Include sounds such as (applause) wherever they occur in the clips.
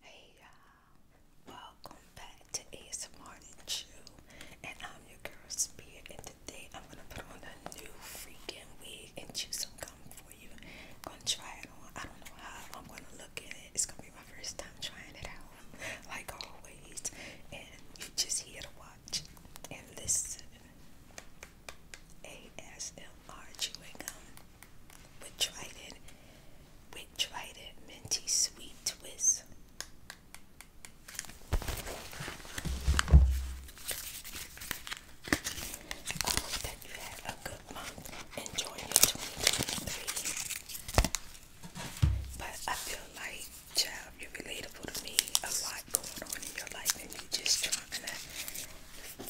Hey y'all, welcome back to ASMR Chew, and I'm your girl Spirit, and today I'm gonna put on a new freaking wig and chew some gum for you. I'm gonna try it on. I don't know how I'm gonna look at it. It's gonna be my first time trying it out, like always. And you just here to watch and listen. ASMR chewing gum. We tried it. We tried it. Minty Sweet Twist. I hope that you had a good month. Enjoy your 2023. But I feel like, child, you're relatable to me. A lot going on in your life, and you're just trying to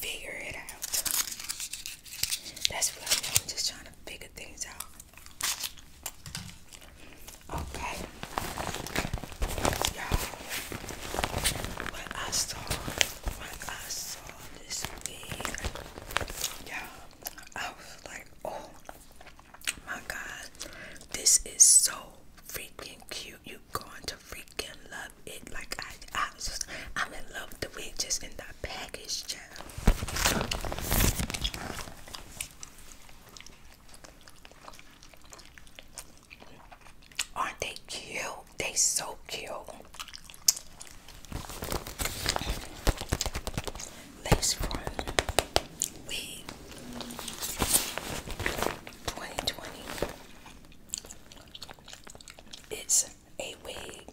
figure it out. That's what I mean. I'm just trying to figure things out. Okay. Y'all, when I saw, when I saw this y'all, I was like, oh my God, this is so freaking cute. You're going to freaking love it like I, I just I'm in love with the witches in that package child. Aren't they cute? They so cute. Lace front wig 2020. It's a wig.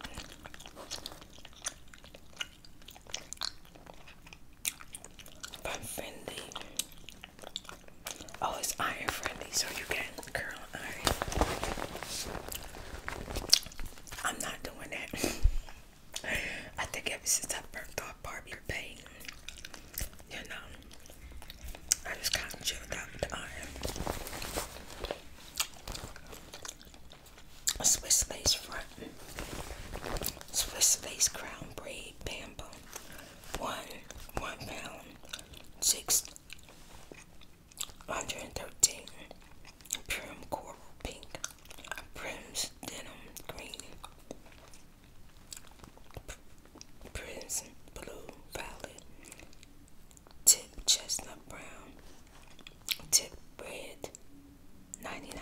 But friendly. Oh, it's iron friendly, so you can curl iron. I'm not doing that. (laughs) I think ever since I burnt off Barbie paint, you know, I just kind of chilled out with Swiss lace front, Swiss lace crown braid bamboo, one one pound six hundred and thirteen. Prim coral pink, prim's denim green, prims blue violet, Tip chestnut brown. Tip red. 99.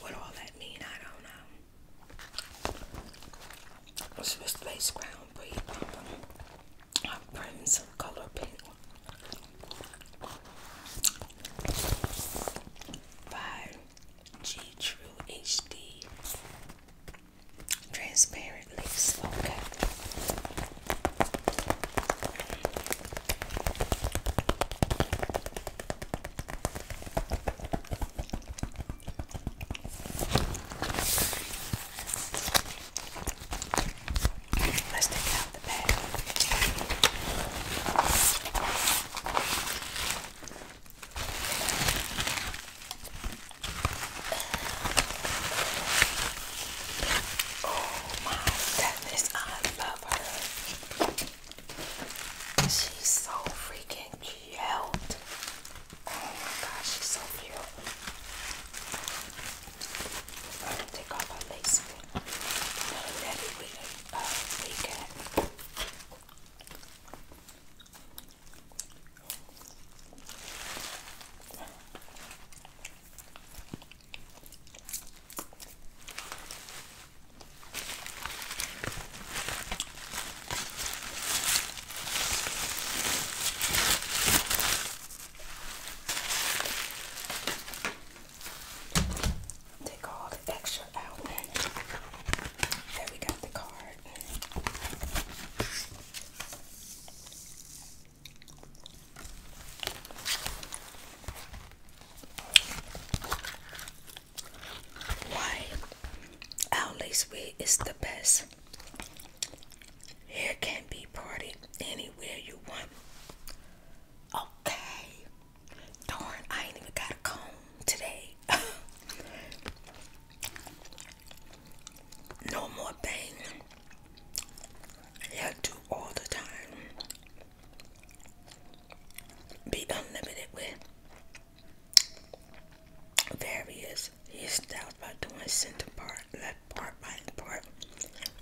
What all that mean, I don't know. Swiss lace crown breed. Um, I'm printing some color pink. By G True HD. Transparently, Okay. Let's take out the bag. Oh my goodness, I love her. She's so freaking cute. Oh my gosh, she's so cute. I'm gonna take off my lace bit. I'm ready with a uh, Take all the extra out. There we got the card. Why Our Owley's way is the best. Hair can be parted anywhere you want. Okay. Darn, I ain't even got a comb today. (laughs) no more pain. Y'all do all the time. Be unlimited with various hairstyles by doing center part, left part, right part,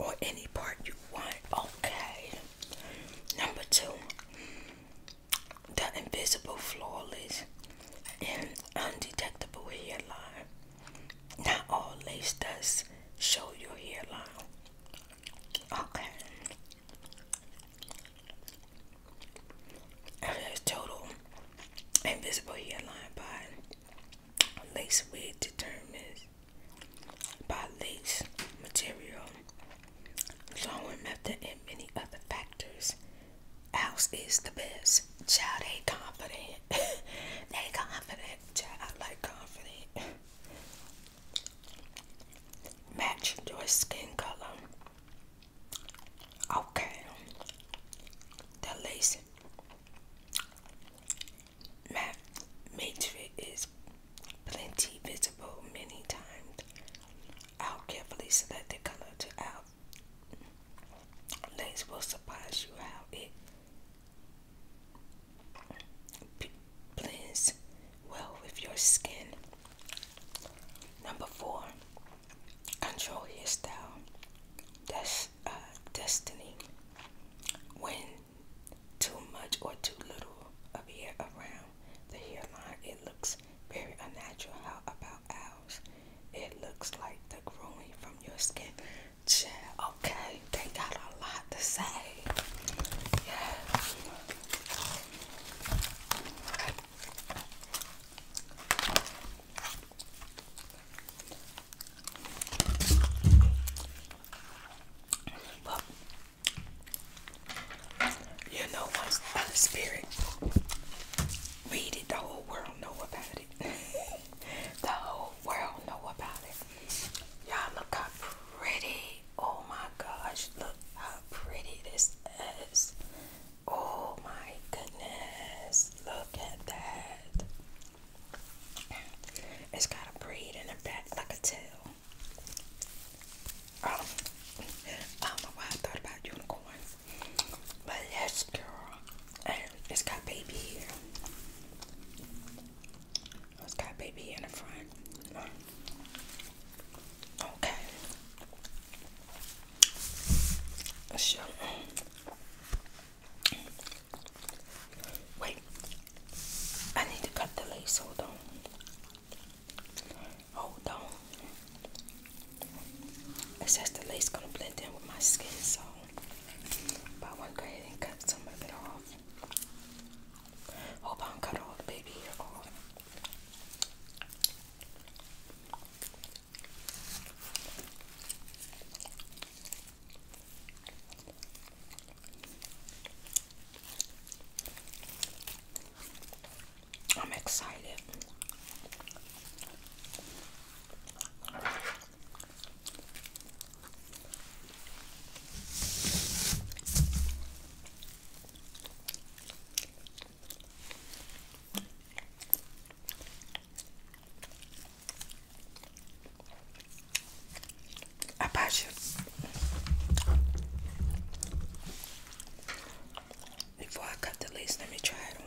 or any part you want. Okay. Number two, the invisible flawless and undetectable hairline. Not all lace does show your hairline. Okay. total invisible hairline by lace wig determined by lace material, sewing method, and many other factors. Ours is the best. Child, they confident. (laughs) they confident. Child, I like confident. Match your skin color. Okay. The lace mat matrix is plenty visible many times. I'll carefully select the color to out. Lace will surprise you how it blends well with your skin. Number four, control hairstyle. That's uh, destiny. When too much or too little of hair around the hairline, it looks very unnatural. How about ours? It looks like the growing from your skin. Okay, they got a lot to say. Yeah. But you know what's by the spirit. Read it, the whole world know about it. (laughs) the whole world know about it. Y'all look how pretty. Oh my gosh, look how pretty this is. Oh my goodness, look at that. It's got a braid in the back like a tail. Um, I don't know why I thought about unicorns, but yes, girl, and it's got baby hair. It's got baby in the front. Okay. Sure. Wait. I need to cut the lace. Hold on. Hold on. It says the lace gonna blend in with my skin, so but I want and cut some of it off. Hope I don't cut all the baby hair off. I'm excited. I you. Before I cut the lace, let me try it on.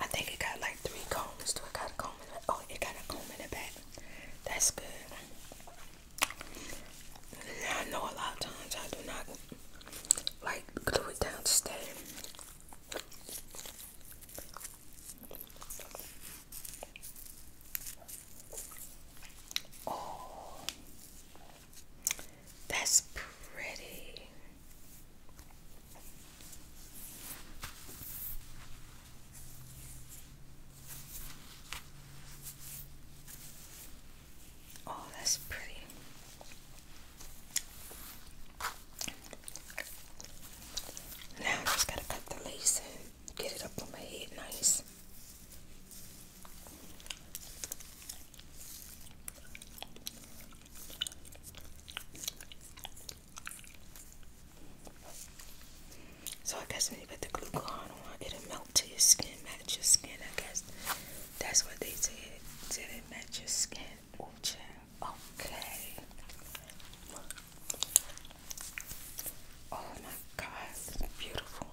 I think it got like three combs. Do it got a comb oh it got a comb in the back. That's good. I know a lot of times I do not like glue it down Oh, that's pretty. Oh, that's pretty. Now I just gotta cut the lace and get it up on my head nice. So I guess when you put the glue on, it'll melt to your skin, match your skin. I guess that's what they said. Did it match your skin? Oh, Okay. Oh my God, beautiful.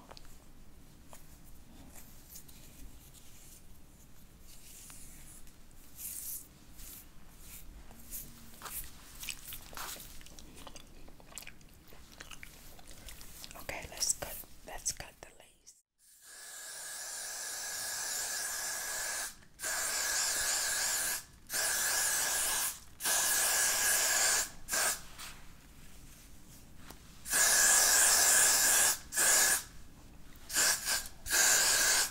Okay, let's cut let's cut the lace.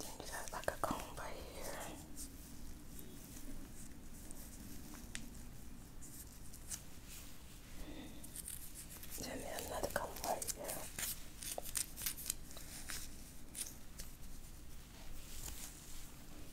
Then you got like a comb right here. Then another comb right here.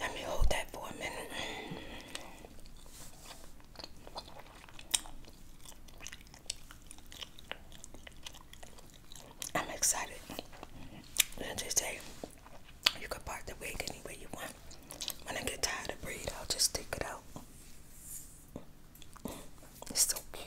Let me hold that for a minute. I'm excited. And they say you can part the wig any way you want. When I get tired of braid, I'll just stick it out. It's so cute.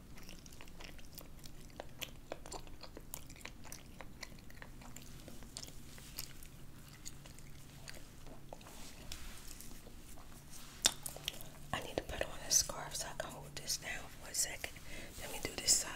I need to put on a scarf so I can hold this down for a second. Let me do this side.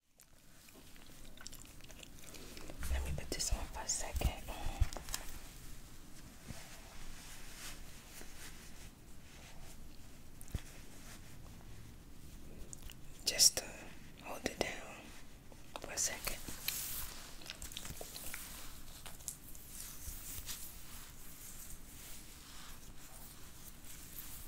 Let me put this on for a second. Just to hold it down for a second.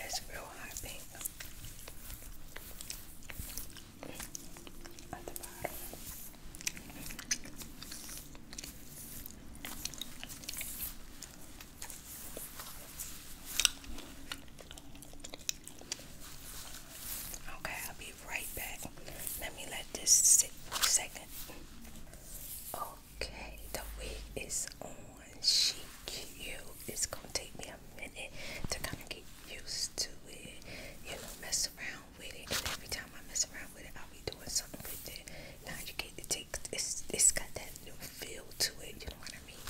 It's real high pink at the bottom. Okay, I'll be right back. Let me let this sit for a second. Okay, the wig is on. She cute. It's gonna take me a minute to kind of get used to it. You know, mess around with it. And every time I mess around with it, I'll be doing something with it. Now you get to take it's it's got that new feel to it, you know what I mean?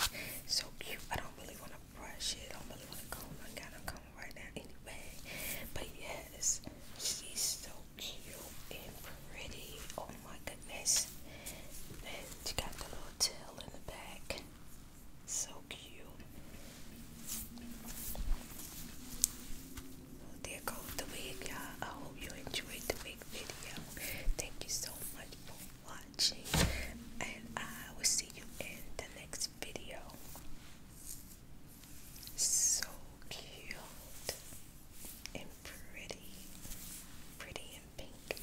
So cute. I don't really want to brush it. I'm gonna look I gotta come right now anyway. But yes, she's so cute and pretty. Oh my goodness. And she got the little tail in the back. So cute. there goes the wig, y'all. I hope you enjoyed the wig video. Thank you so much watching, and I will see you in the next video. So cute and pretty, pretty and pink.